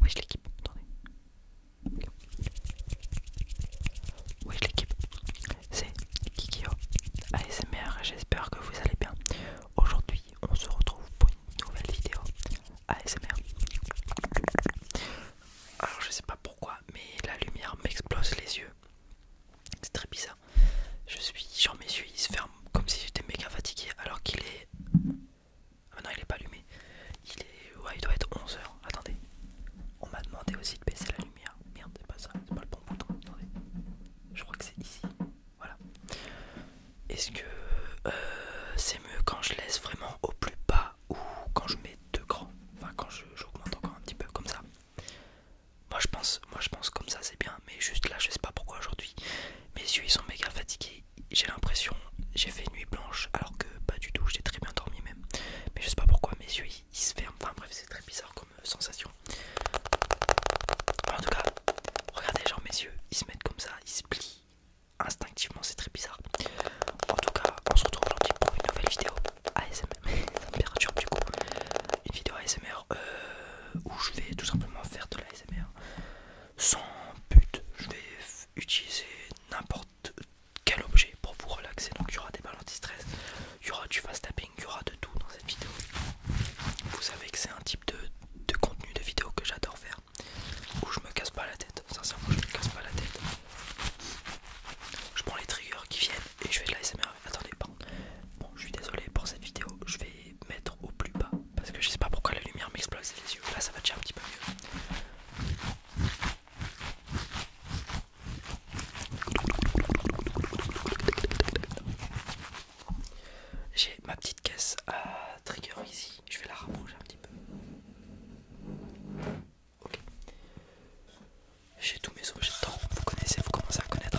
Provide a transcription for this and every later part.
Wesh l'équipe, attendez. Wesh l'équipe, c'est Kikio ASMR, j'espère que vous allez bien. Aujourd'hui, on se retrouve pour une nouvelle vidéo ASMR. Alors je sais pas pourquoi, mais la lumière m'explose les yeux. C'est très bizarre. Je suis, genre mes yeux ils se ferment comme si j'étais méga fatigué alors qu'il est... Ah non il est pas allumé. Il est... Ouais il doit être 11h. Attendez. On m'a demandé aussi de baisser la lumière. Merde c'est pas ça, c'est pas le bon bouton. Attendez. Je crois que c'est ici. Voilà. Est-ce que euh, c'est mieux quand je laisse vraiment au plus bas ou quand je mets deux grands Enfin quand j'augmente encore un petit peu comme ça. Moi je pense, moi je pense comme ça c'est bien, mais juste là je sais pas pourquoi aujourd'hui. Mes yeux ils sont méga fatigués. J'ai l'impression j'ai fait une nuit blanche alors que pas du tout, j'ai très bien dormi même. Mais je sais pas pourquoi mes yeux ils se ferment. Enfin bref c'est très bizarre comme euh, sensation. En tout cas, regardez genre mes yeux, ils se mettent comme ça, ils se plient instinctivement c'est très bizarre. En tout cas, on se retrouve aujourd'hui pour une nouvelle vidéo ASMR, du coup, une vidéo ASMR euh, où je vais tout simplement faire de l'ASMR sans but. Je vais utiliser n'importe quel objet pour vous relaxer. Donc il y aura des balles anti-stress, il y aura du fast tapping, il y aura de tout dans cette vidéo. Vous savez que c'est un type de contenu de vidéo que j'adore faire où je me casse pas la tête. Sincèrement, je me casse pas la tête. Je prends les triggers qui viennent et je fais de la SMR. Attendez, Bon, je suis désolé pour cette vidéo. Je vais mettre au plus bas parce que je sais pas pourquoi la lumière m'explose les yeux. Là, ça va déjà un petit peu mieux. J'ai ma petite caisse à trigger ici je vais la rapprocher un petit peu. Ok. J'ai tous mes objets vous connaissez, vous commencez à connaître.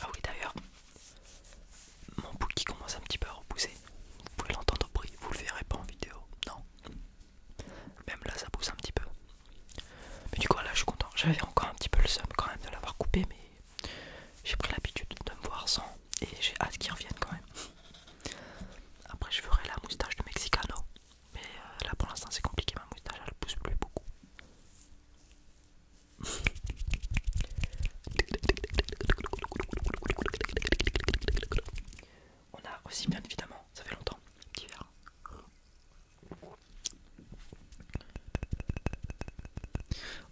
Ah oui d'ailleurs, mon bout qui commence un petit peu à repousser. Vous pouvez l'entendre au bruit, vous le verrez pas en vidéo, non. Même là ça pousse un petit peu. Mais du coup là je suis content. J'avais encore un petit peu le seum quand même de l'avoir coupé mais j'ai pris l'habitude de me voir sans et j'ai hâte qu'ils reviennent quand même. Après, je ferai la moustache de Mexicano, mais euh, là pour l'instant c'est compliqué, ma moustache elle pousse plus beaucoup. On a aussi bien évidemment, ça fait longtemps,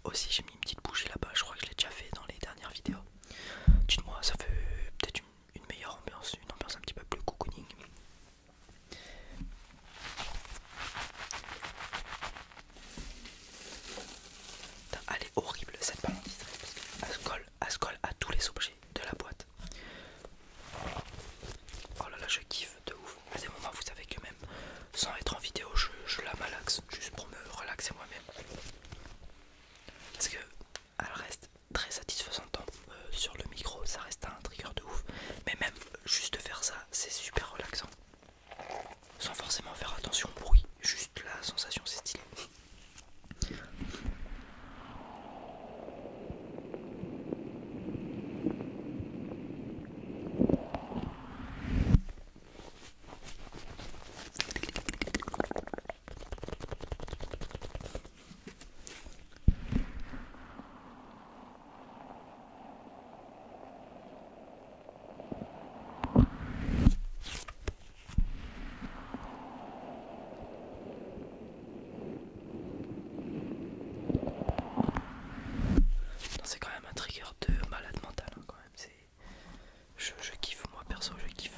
Aussi j'ai une petite bougie là-bas, je crois que je l'ai déjà fait dans les dernières vidéos. Dites-moi, ça fait peut-être une, meilleure ambiance, une ambiance un petit peu plus cocooning. elle est horrible cette balandistrée parce qu'elle se se colle à tous les objets de la boîte. Oh là là, je kiffe de ouf. À des moments, vous savez que même sans être en vidéo, je, la malaxe juste pour me relaxer moi-même. Parce que elle reste très satisfaisante hein. euh, sur le micro, ça reste un trigger de ouf. Mais même juste faire ça, c'est super relaxant. Sans forcément faire attention au bruit, juste la sensation, c'est stylé. C'est quand même un trigger de malade mental, hein, quand même. C'est je, kiffe moi perso je kiffe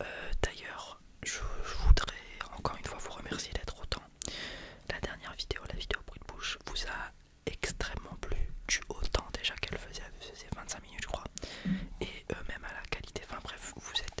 Euh, d'ailleurs, je, voudrais encore une fois vous remercier d'être autant. La dernière vidéo, la vidéo bruit de bouche, vous a extrêmement plu du autant déjà qu'elle faisait, ces 25 minutes je crois et euh, même à la qualité, enfin bref vous êtes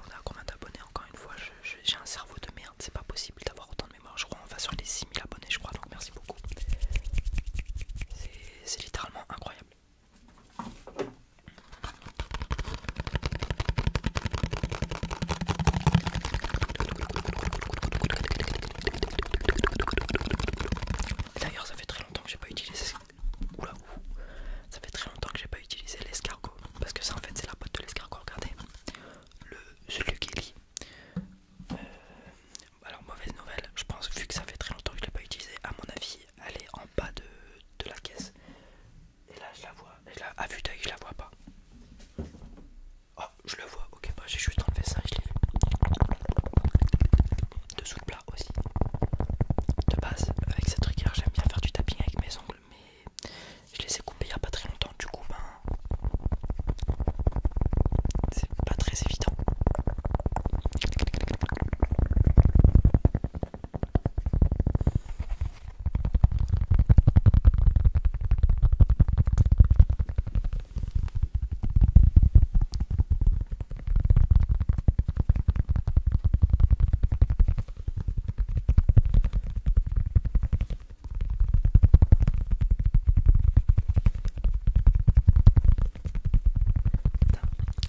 on a combien d'abonnés encore une fois j'ai un cerveau de merde c'est pas possible d'avoir autant de mémoire je crois on va sur les 6000 abonnés je crois donc merci beaucoup c'est littéralement incroyable D'ailleurs ça fait très longtemps que j'ai pas utilisé ça fait très longtemps que j'ai pas utilisé l'escargot parce que ça en fait c'est la boîte de l'escargot, regardez. Le qui euh, alors mauvaise nouvelle, je pense vu que ça fait très longtemps que je ne l'ai pas utilisé, à mon avis elle est en bas de, la caisse. Et là je la vois, à vue d'œil je la vois pas. Oh je le vois, ok bah, j'ai juste enlevé ça et je l'ai Dessous le plat aussi. De base, avec cette là j'aime bien faire du tapping avec mes ongles mais je les ai coupés il n'y a pas très longtemps, du coup, ben c'est pas très évident.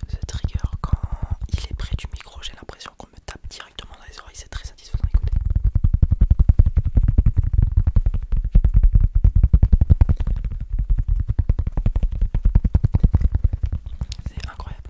Ce trigger, quand il est près du micro, j'ai l'impression qu'on me tape directement dans les oreilles, c'est très satisfaisant à C'est incroyable.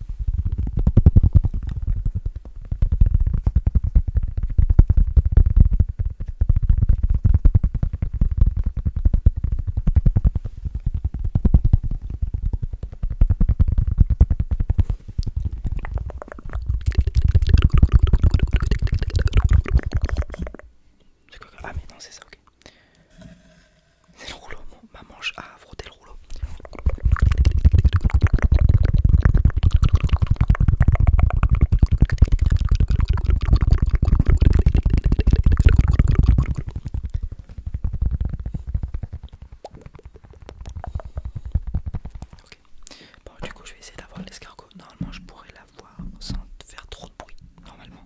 Ah mais non c'est ça ok c'est le rouleau, ma manche a frotté le rouleau. bon, du coup, je vais essayer d'avoir l'escargot. Normalement, je pourrais l'avoir sans faire trop de bruit. Normalement.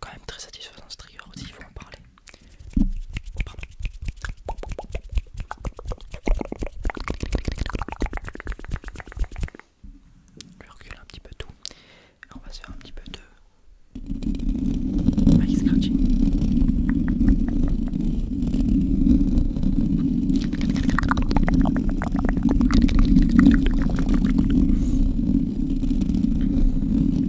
quand même très satisfaisant ce trigger aussi, il faut en parler. Je recule un petit peu tout. Et on va se faire un petit peu de scratching.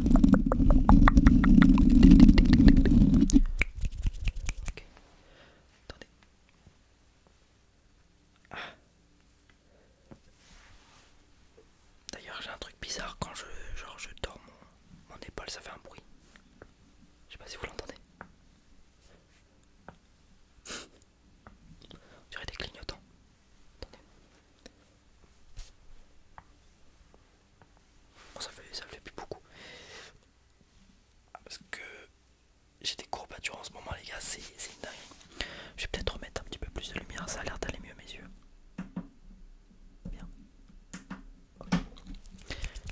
Ah. D'ailleurs, j'ai un truc bizarre quand je genre dors mon, épaule, ça fait un bruit. Je sais pas si vous l'entendez. J'aurais des clignotants. Attendez. ça fait, ça fait plus beaucoup. Parce que j'ai des courbatures en ce moment, les gars, c'est une Je vais peut-être remettre un petit peu plus de lumière, ça a l'air d'aller mieux mes yeux. Bien.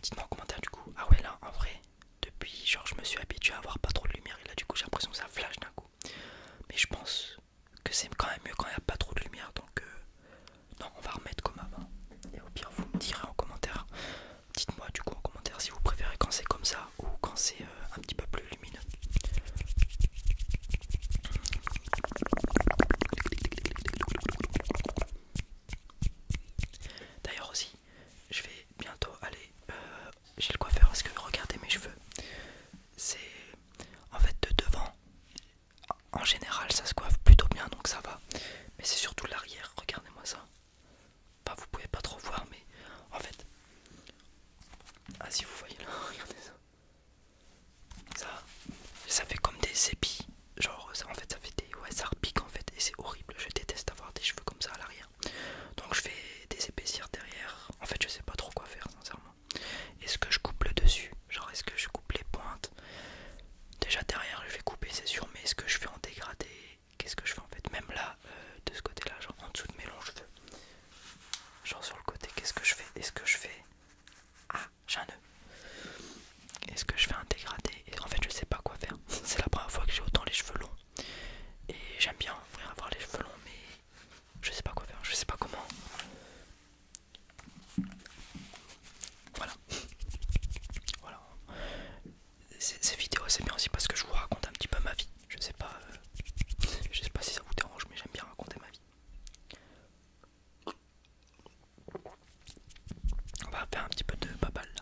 Dites-moi en commentaire du coup. Ah ouais, là, en vrai, depuis, genre, je me suis habitué à avoir pas trop de lumière et là, du coup, j'ai l'impression que ça flash d'un coup. Mais je pense que c'est quand même mieux quand il n'y a pas trop de lumière donc euh, non on va remettre comme avant et au pire vous me direz en commentaire dites moi du coup en commentaire si vous préférez quand c'est comme ça ou quand c'est euh, un petit peu plus lumineux D'ailleurs aussi, je vais bientôt aller euh, j'ai chez le coiffeur parce que regardez mes cheveux, c'est en fait, de devant, en général, ça se coiffe plutôt bien donc ça va. Mais c'est surtout l'arrière, regardez-moi ça. Enfin, vous pouvez pas trop voir, mais en fait. Ah, si vous voyez là, regardez ça. Ça, ça fait comme des épis. Genre, en fait, ça fait des. Ouais, ça repique en fait, et c'est horrible. Je déteste avoir des cheveux comme ça à l'arrière. Donc, je fais des épaissirs derrière. En fait, je sais pas trop quoi faire, sincèrement. Est-ce que je coupe le dessus Genre est-ce que je coupe les pointes Déjà derrière je vais couper c'est sûr mais est-ce que je fais en dégradé Qu'est-ce que je fais en fait Même là euh, de ce côté là genre en dessous de mes longs cheveux Genre sur le côté qu'est-ce que je fais Est-ce que je fais Ah j'ai un nœud Est-ce que je fais un dégradé Et en fait je sais pas quoi faire C'est la première fois que j'ai autant les cheveux longs Et j'aime bien avoir les cheveux longs mais je sais pas quoi faire, je sais pas comment. Voilà. voilà. Ces vidéos c'est bien aussi parce que je vous raconte un petit peu ma vie. Je sais pas. Euh, je sais pas si ça vous dérange mais j'aime bien raconter ma vie. On va faire un petit peu de babal là.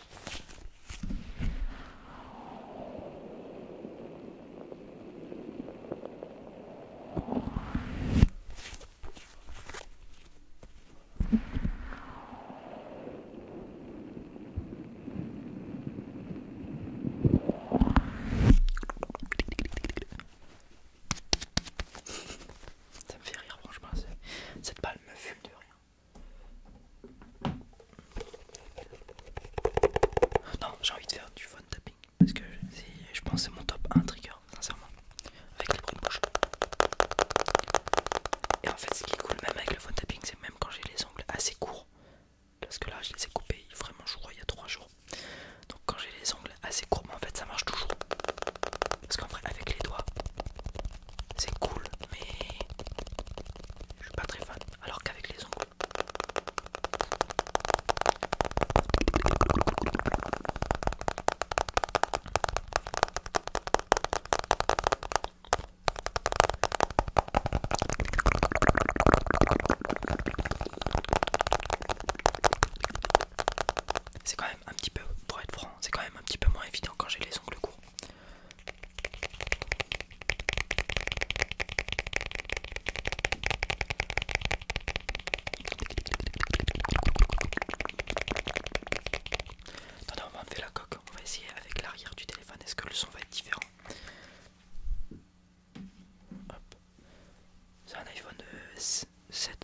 Ça me fait rire franchement, cette balle me fume de rien. Non, j'ai envie de faire du phone tapping parce que je pense c'est mon top 1 trigger, sincèrement, avec les bruits de Et en fait, ce qui est cool, même avec le phone tapping, c'est même quand j'ai les ongles assez courts, parce que là je les ai coupés vraiment, je crois, il y a 3 jours. Donc, quand j'ai les ongles assez courts, en fait, ça marche toujours parce qu'en vrai, avec les doigts, c'est cool, mais je suis pas très fan alors qu'avec les ongles c'est quand même un petit peu pour être franc c'est quand même un petit peu moins évident quand j'ai les ongles courts Attendez, on va enlever la coque. On va essayer avec l'arrière du téléphone. Est-ce que le son va être différent C'est un iPhone 7.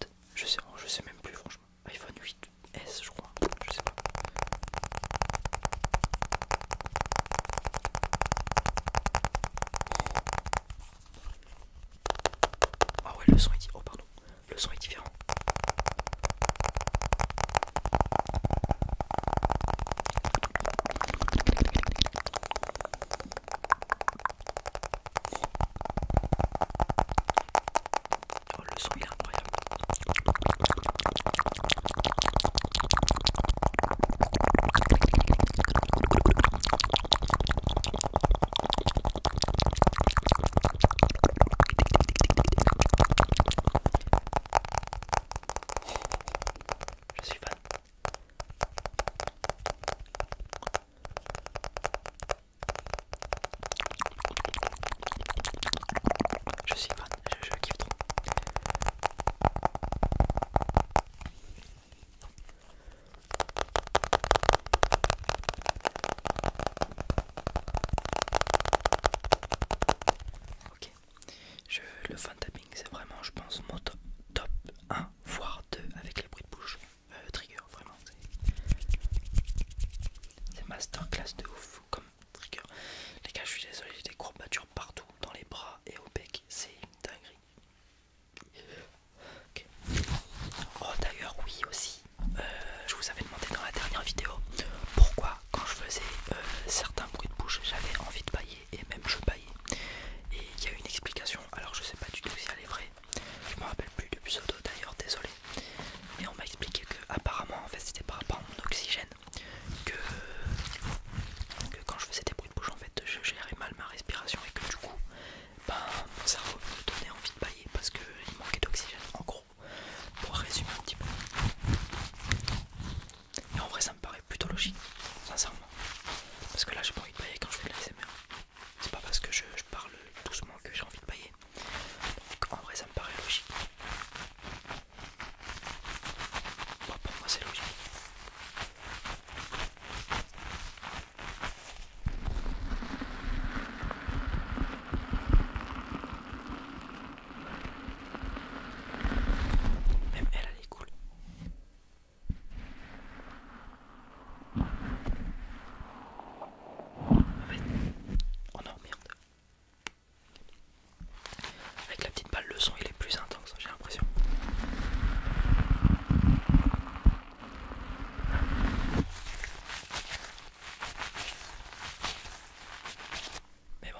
Euh, je sais, je sais même plus, franchement. iPhone 8S, je crois. Je sais pas. Ah ouais, le son est dit Oh pardon, le son est différent. Oh, le son il est incroyable. Je suis fan. Je suis fan je, kiffe trop. Ok, je, le fan c'est vraiment, je pense, mon top, 1 voire 2 avec les bruits de bouche. Euh, trigger, vraiment, c'est masterclass de ouf. Comme les gars, je suis désolé, j'ai des courbatures partout, dans les bras et au bec. C'est une dinguerie. Oh, d'ailleurs, oui, aussi, euh, je vous avais demandé dans la dernière vidéo pourquoi, quand je faisais euh, certains bruits de bouche, j'avais envie de bailler et même je baillais. Et il y a une explication, alors je sais pas du tout si elle est vraie. Je me rappelle plus du pseudo d'ailleurs, désolé. Mais on m'a expliqué que apparemment en fait c'était par rapport à mon oxygène que, quand je faisais des bruits de bouche en fait je gérais mal ma respiration et que du coup ben, mon cerveau me donnait envie de bailler parce qu'il manquait d'oxygène en gros pour résumer un petit peu et en vrai ça me paraît plutôt logique sincèrement parce que là j'ai pas envie de bailler quand je fais de l'ASMR c'est pas parce que je, je parle doucement que j'ai envie de bailler en vrai ça me paraît logique bah, pour moi, c'est logique. Même elle, elle est cool. En fait... Oh non, merde. Avec la petite balle, le son il est plus intense, j'ai l'impression. Mais bon.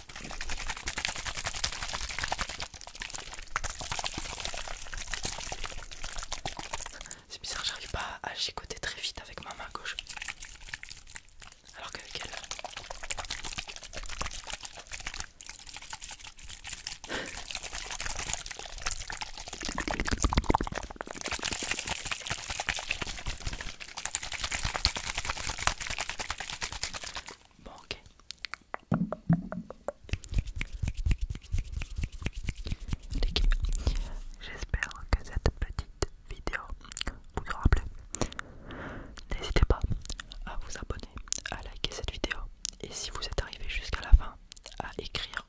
C'est bizarre, j'arrive pas à chicoter très vite avec ma main gauche. Alors qu'avec elle... Bon, ok. j'espère que cette petite vidéo vous aura plu. N'hésitez pas à vous abonner, à liker cette vidéo et si vous êtes arrivé jusqu'à la fin, à écrire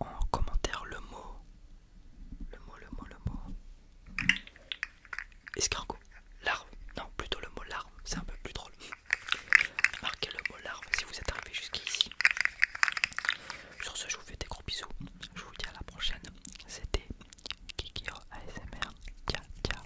en commentaire le mot le mot, le mot, le mot. Escargot. Larve. Non, plutôt le mot larve. C'est un peu plus drôle. Marquez le mot larve si vous êtes arrivé jusqu'ici. Sur ce, je vous fais des gros bisous. Je vous dis à la prochaine. C'était Kikiro ASMR. Ciao, ciao.